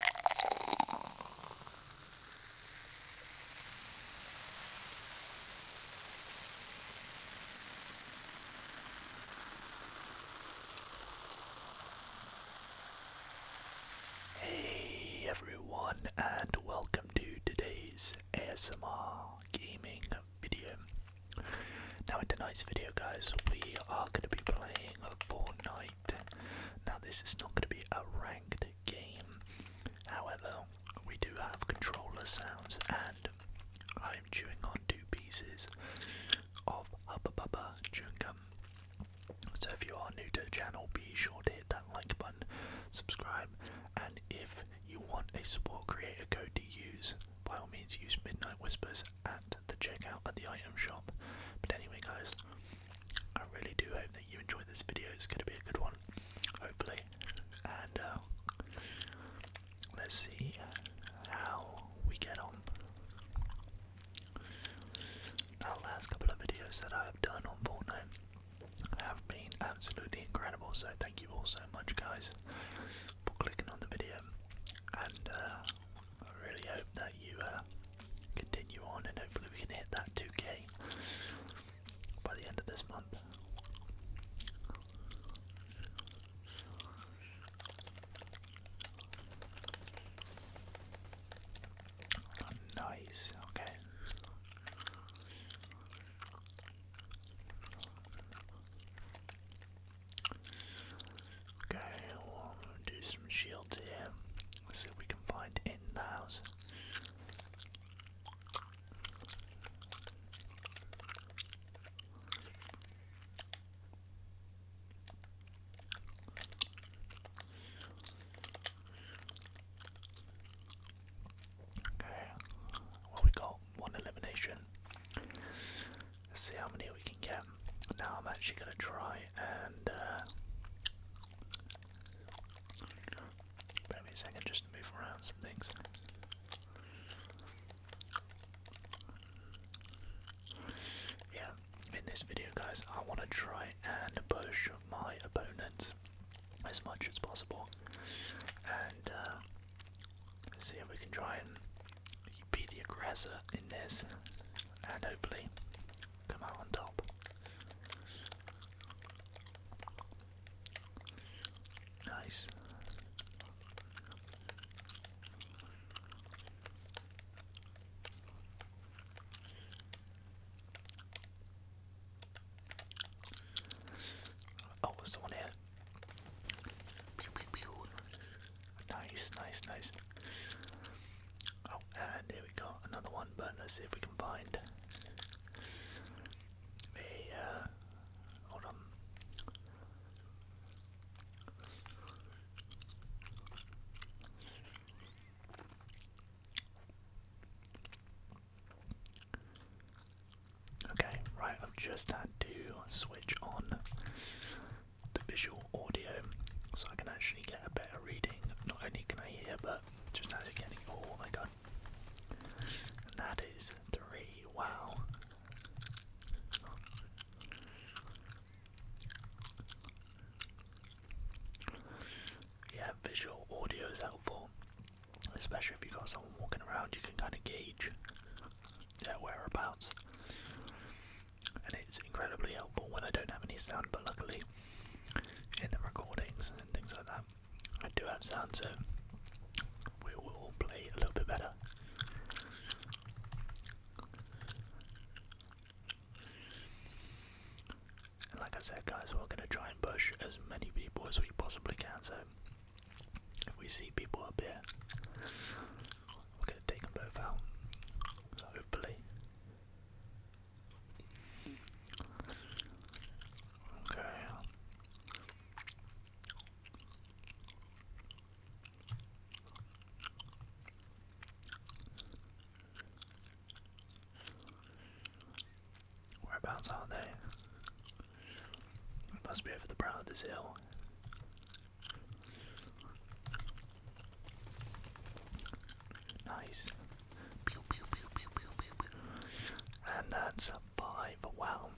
Hey everyone, and welcome to today's ASMR gaming video. Now, in tonight's video, guys, we are going to be playing Fortnite now, this is not going to be a ranked game, however, we do have controller sounds, and I'm chewing on two pieces of Hubba chewing gum. So, if you are new to the channel, be sure to hit that like button, subscribe, and if you want a support creator code to use, by all means, use Midnight Whispers at the checkout at the item shop. But anyway, guys, I really do hope that you enjoyed this video. It's going to be a good one, hopefully. And uh, let's see uh, how we get on. The last couple of videos that I have done on Fortnite have been absolutely incredible. So thank you all so much, guys, for clicking on the video. And uh, I really hope that you uh, continue on and hopefully we can hit that 2k by the end of this month. nice, okay. Okay, we'll do some shields here. Let's see if we can find in the house. Okay, well we got one elimination. Let's see how many we can get now I'm actually gonna try and uh, a second just to move around some things. Yeah, in this video, guys, I want to try and push my opponents as much as possible, and uh, see if we can try and be the aggressor in this, and hopefully come out on top. Nice. Oh, someone here. Nice, nice, nice. Oh, and here we go, another one, but let's see if we can find a, uh, hold on. Okay, right, I've just had to switch on the visual audio so I can actually get a better reading. Not only can I hear, but just actually getting. Oh my god. And that is three. Wow. Yeah, visual audio is helpful, especially if you've got someone walking around, you can kind of gauge their whereabouts and it's incredibly helpful when I don't have any sound. But luckily, in the recordings and things like that, I do have sound, so we will play a little bit better. And like I said, guys, we're going to try and push as many people as we possibly can. So if we see people up here, we're going to take them both out. Hopefully. Okay. Whereabouts are they? must be over the brow of this hill. Nice. Pew, pew, pew, And that's a 5. Wow.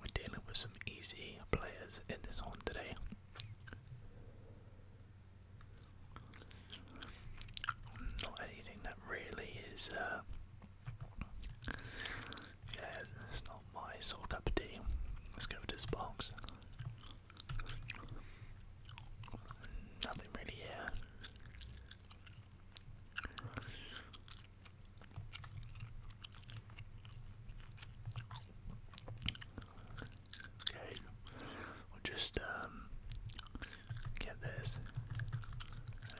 We're dealing with some easy players in this one today. Not anything that really is, uh, yeah, it's not my sort of cup Let's go to this box. Nothing really here. Okay, we'll just um, get this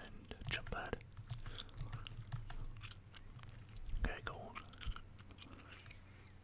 and jump pad. Okay, go on.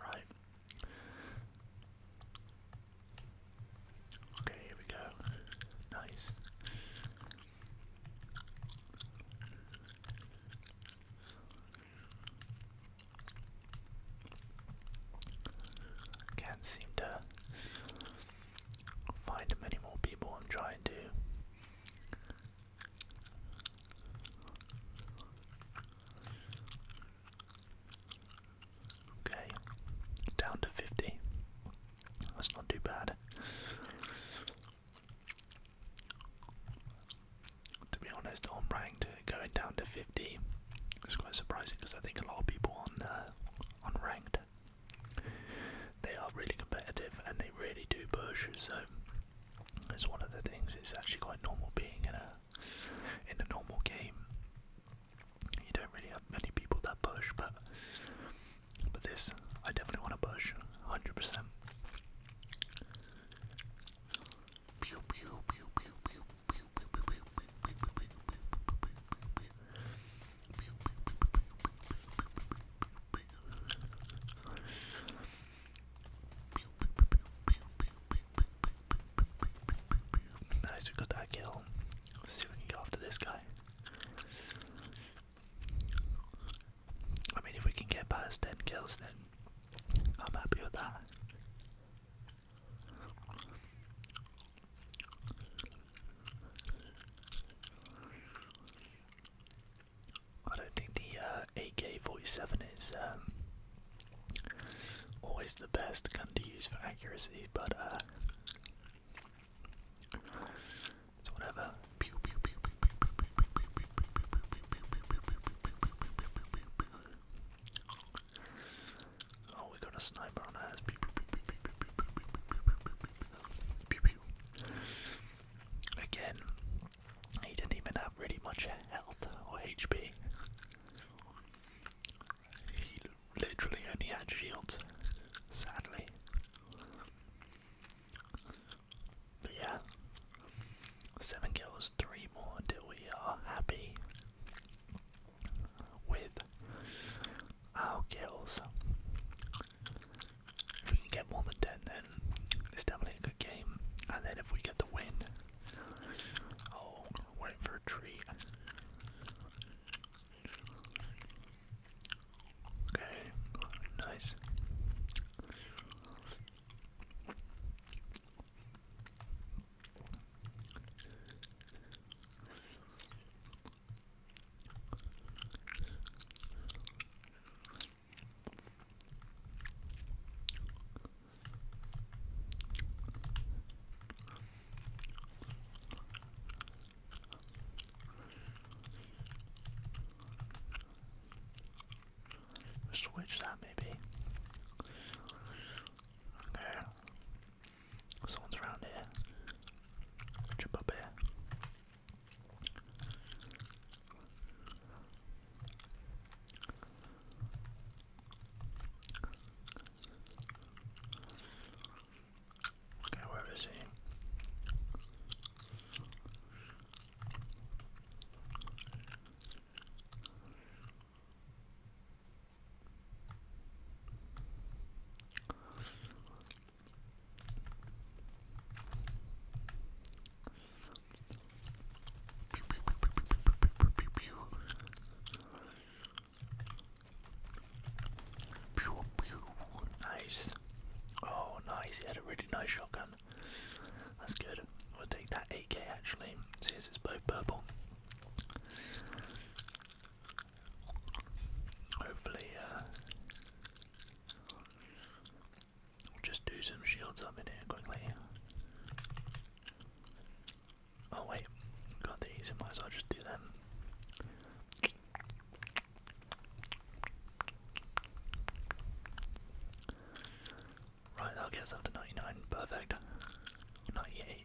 Right. Okay, here we go. Nice. Can't seem to find many more people I'm trying to Okay, down to 50. That's not too bad. To be honest, on ranked, going down to 50 it's quite surprising because I think a lot of people on, uh, on ranked, they are really competitive and they really do push, so it's one of the things. It's actually quite normal being in a in a normal game. You don't really have many people that push, but but this I definitely want to push, hundred percent. Nice, we got that kill. Let's see if we can get after this guy. I mean, if we can get past 10 kills, then I'm happy with that. I don't think the AK-47 is always the best gun to use for accuracy, but uh, whatever. Oh, we got a sniper on us. Again, he didn't even have really much health or HP. He literally only had shields, sadly. But yeah, seven kills, three more until we are happy with our kills. If we can get more than 10, then it's definitely a good game. And then if we get the win, oh, we for a treat. Okay, nice. Switch that maybe. Okay. Someone's around here. Jump up here. Okay, where is he? Nice. Oh, nice. He had a really nice shotgun. That's good. We'll take that 8k actually. Since it's both purple. Hopefully, uh, just do some shields up in here quickly. Oh wait, got these, I might as well just do them. Right, that'll get us up to 99, perfect. 98.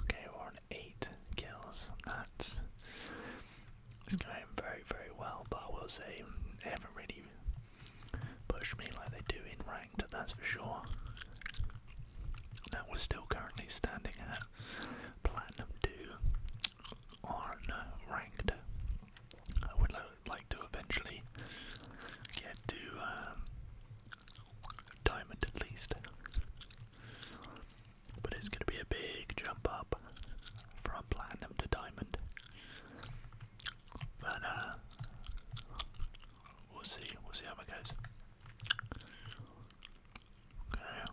Okay, we're on eight kills. That's it's going very, very well, but I will say they haven't really pushed me like they do in ranked, that's for sure. That we're still currently standing at Platinum 2 on ranked. I would like to eventually get to um, Diamond at least. But it's going to be a big jump up from platinum to diamond. But uh, we'll see. We'll see how it goes. Okay.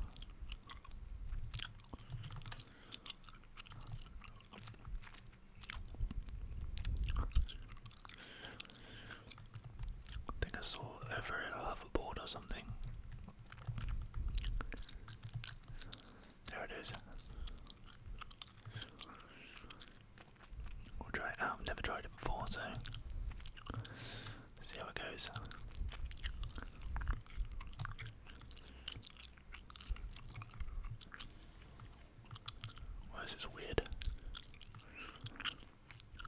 I think I saw over a hoverboard or something. There it is. We'll try it out. I've never tried it before, so see how it goes. Why is this weird.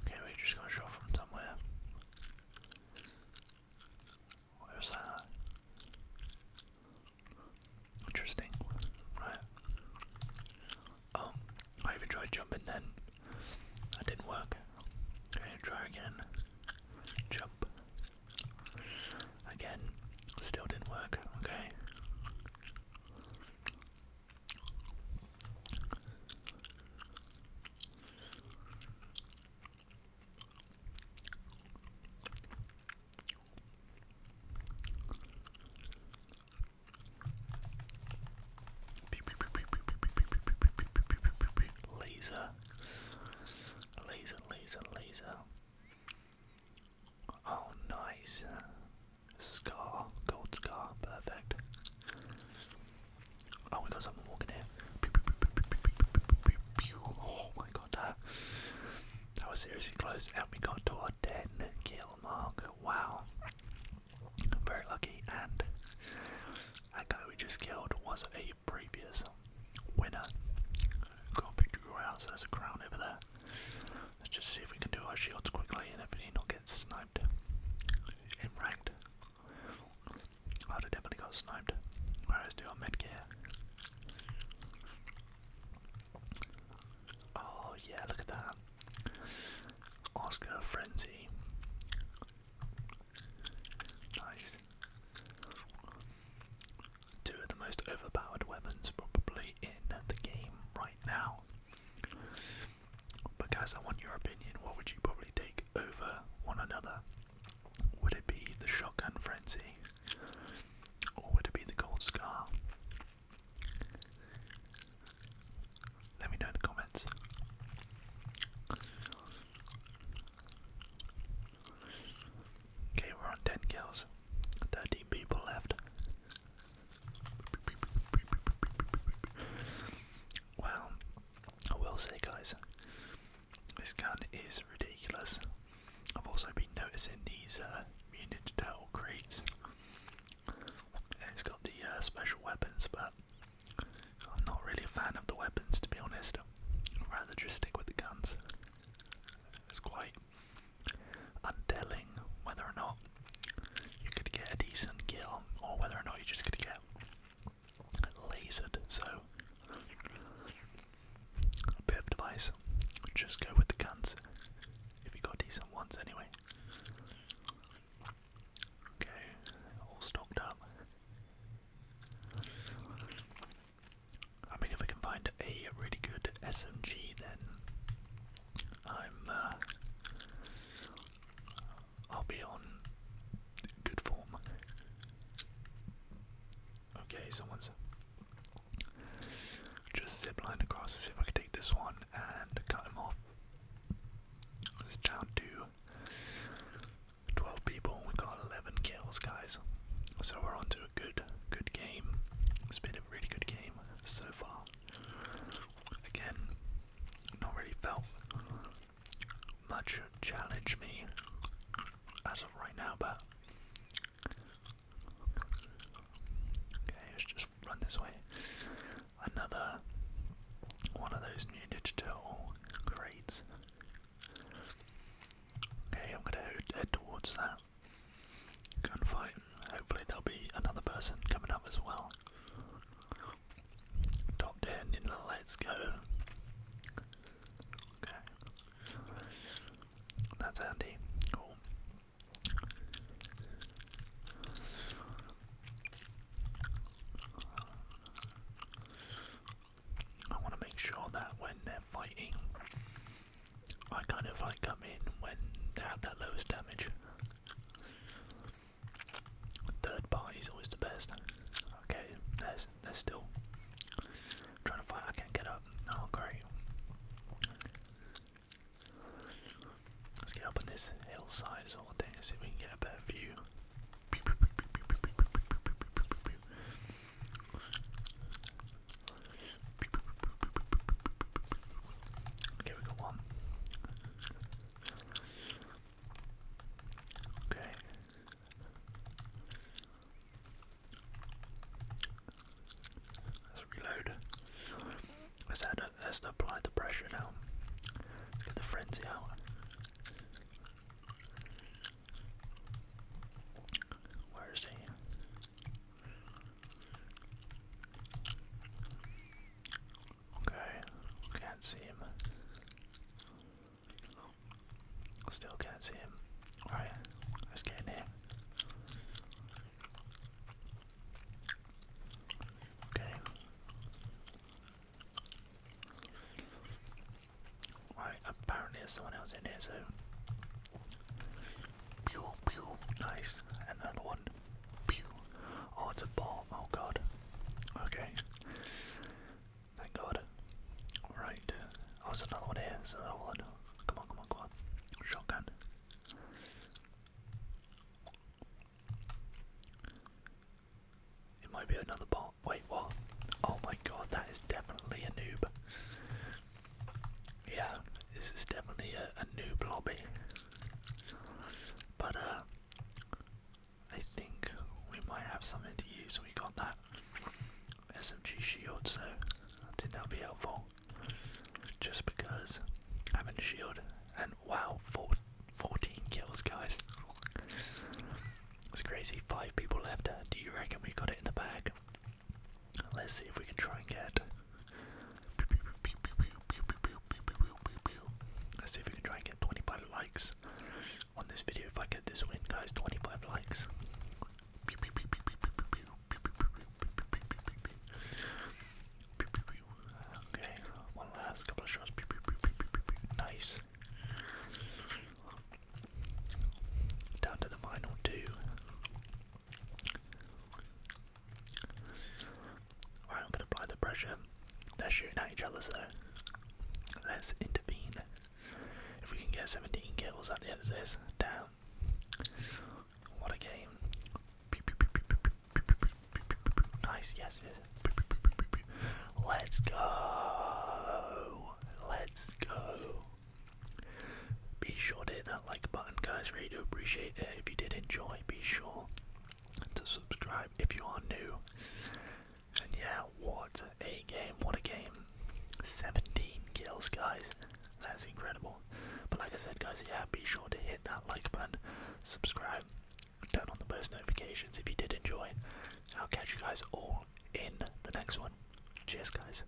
Okay, we just got shot from somewhere. Where that? Interesting. Right. Oh, I even tried jumping then. That didn't work. Okay, try again. Jump. Again. Still didn't work. Okay. Laser, laser, laser, laser. Oh, nice. Scar, gold scar, perfect. Oh, we got someone walking here. Oh my god, that, that was seriously close. And we got to our 10 kill mark. Wow. Very lucky. And that guy we just killed was a previous winner. Got a picture of so there's a crown over there. Let's just see if we can do our shields quickly and if he not get sniped in ranked. I definitely got sniped. Alright, let's gear. Oh yeah, look at that. Oscar Frenzy. Nice. Two of the most overpowered weapons probably in the game right now. But guys, I want your opinion. What would you probably take over one another? Would it be the shotgun frenzy? Or would it be the gold scar? Let me know in the comments. Okay, we're on 10 kills. 13 people left. Wow, I will say, guys, this gun is ridiculous. I've also been noticing these uh, crates, and it's got the uh, special weapons, but I'm not really a fan of the weapons to be honest. I'd rather just stick with the guns. It's quite and telling whether or not you could get a decent kill or whether or not you're just going to get lasered. So, a bit of advice just go with the guns if you got decent ones anyway. Okay, all stocked up. I mean, if we can find a really good SMG, then I'm uh, I'll be on good form. Okay, someone's just zipline across. See if I can take this one and cut him off. It's down to 12 people. we got 11 kills, guys. So we're on to good, good game. It's been a really good game so far. Again, not really felt much challenge me as of right now, but okay, let's just run this way. Another one of those new digital crates. Okay, I'm gonna head towards that gunfight. Hopefully, there'll be another person coming up as well. Top 10 let's go. Okay. That's handy. I want to make sure that when they're fighting, I kind of like come in when they have that lowest damage. Third party is always the best. Okay, there's there's still I'm trying to fight. I can't get up. Oh great. Let's get up on this hillside sort of thing we can get a better view. Okay, we got one. Okay. Let's reload. Let's, let's apply the pressure now. Let's get the frenzy out. Where is he? Okay, can't see him. Still can't see him. Alright, let's get in Okay. Right, apparently there's someone else in here, so Pew, pew. Nice. another one. Pew. Oh, it's a ball. Oh, God. Okay. Thank God. Alright. Oh, there's another one here. another one. Come on, come on, come on. Shotgun. It might be another bot. Wait, what? Oh my god, that is definitely a noob yeah, this is definitely a, new noob lobby. But uh, I think we might have something to use. We got that SMG shield, so I think that'll be helpful. Just because having a shield and wow, four, 14 kills, guys. It's crazy. Five people left. Uh, do you reckon we got it in the bag? Let's see if we can try and get. Let's see if we can try and get 25 likes on this video. If I get this win, guys, 25 likes. Okay, one last couple of shots. Nice. Down to the final two. I'm gonna apply the pressure. They're shooting at each other, so let's intervene. If we can get 17 kills at the end of this, damn. What a game. Nice, yes, yes. Let's go. Let's go. Be sure to hit that like button, guys. Really do appreciate it. If you did enjoy, be sure to subscribe if you are new. And yeah, what a game! What a game! 17 kills, guys. That's incredible. But like I said, guys, yeah, be sure to hit that like button, subscribe, turn on the post notifications if you did enjoy. I'll catch you guys all in the next one. Cheers, guys.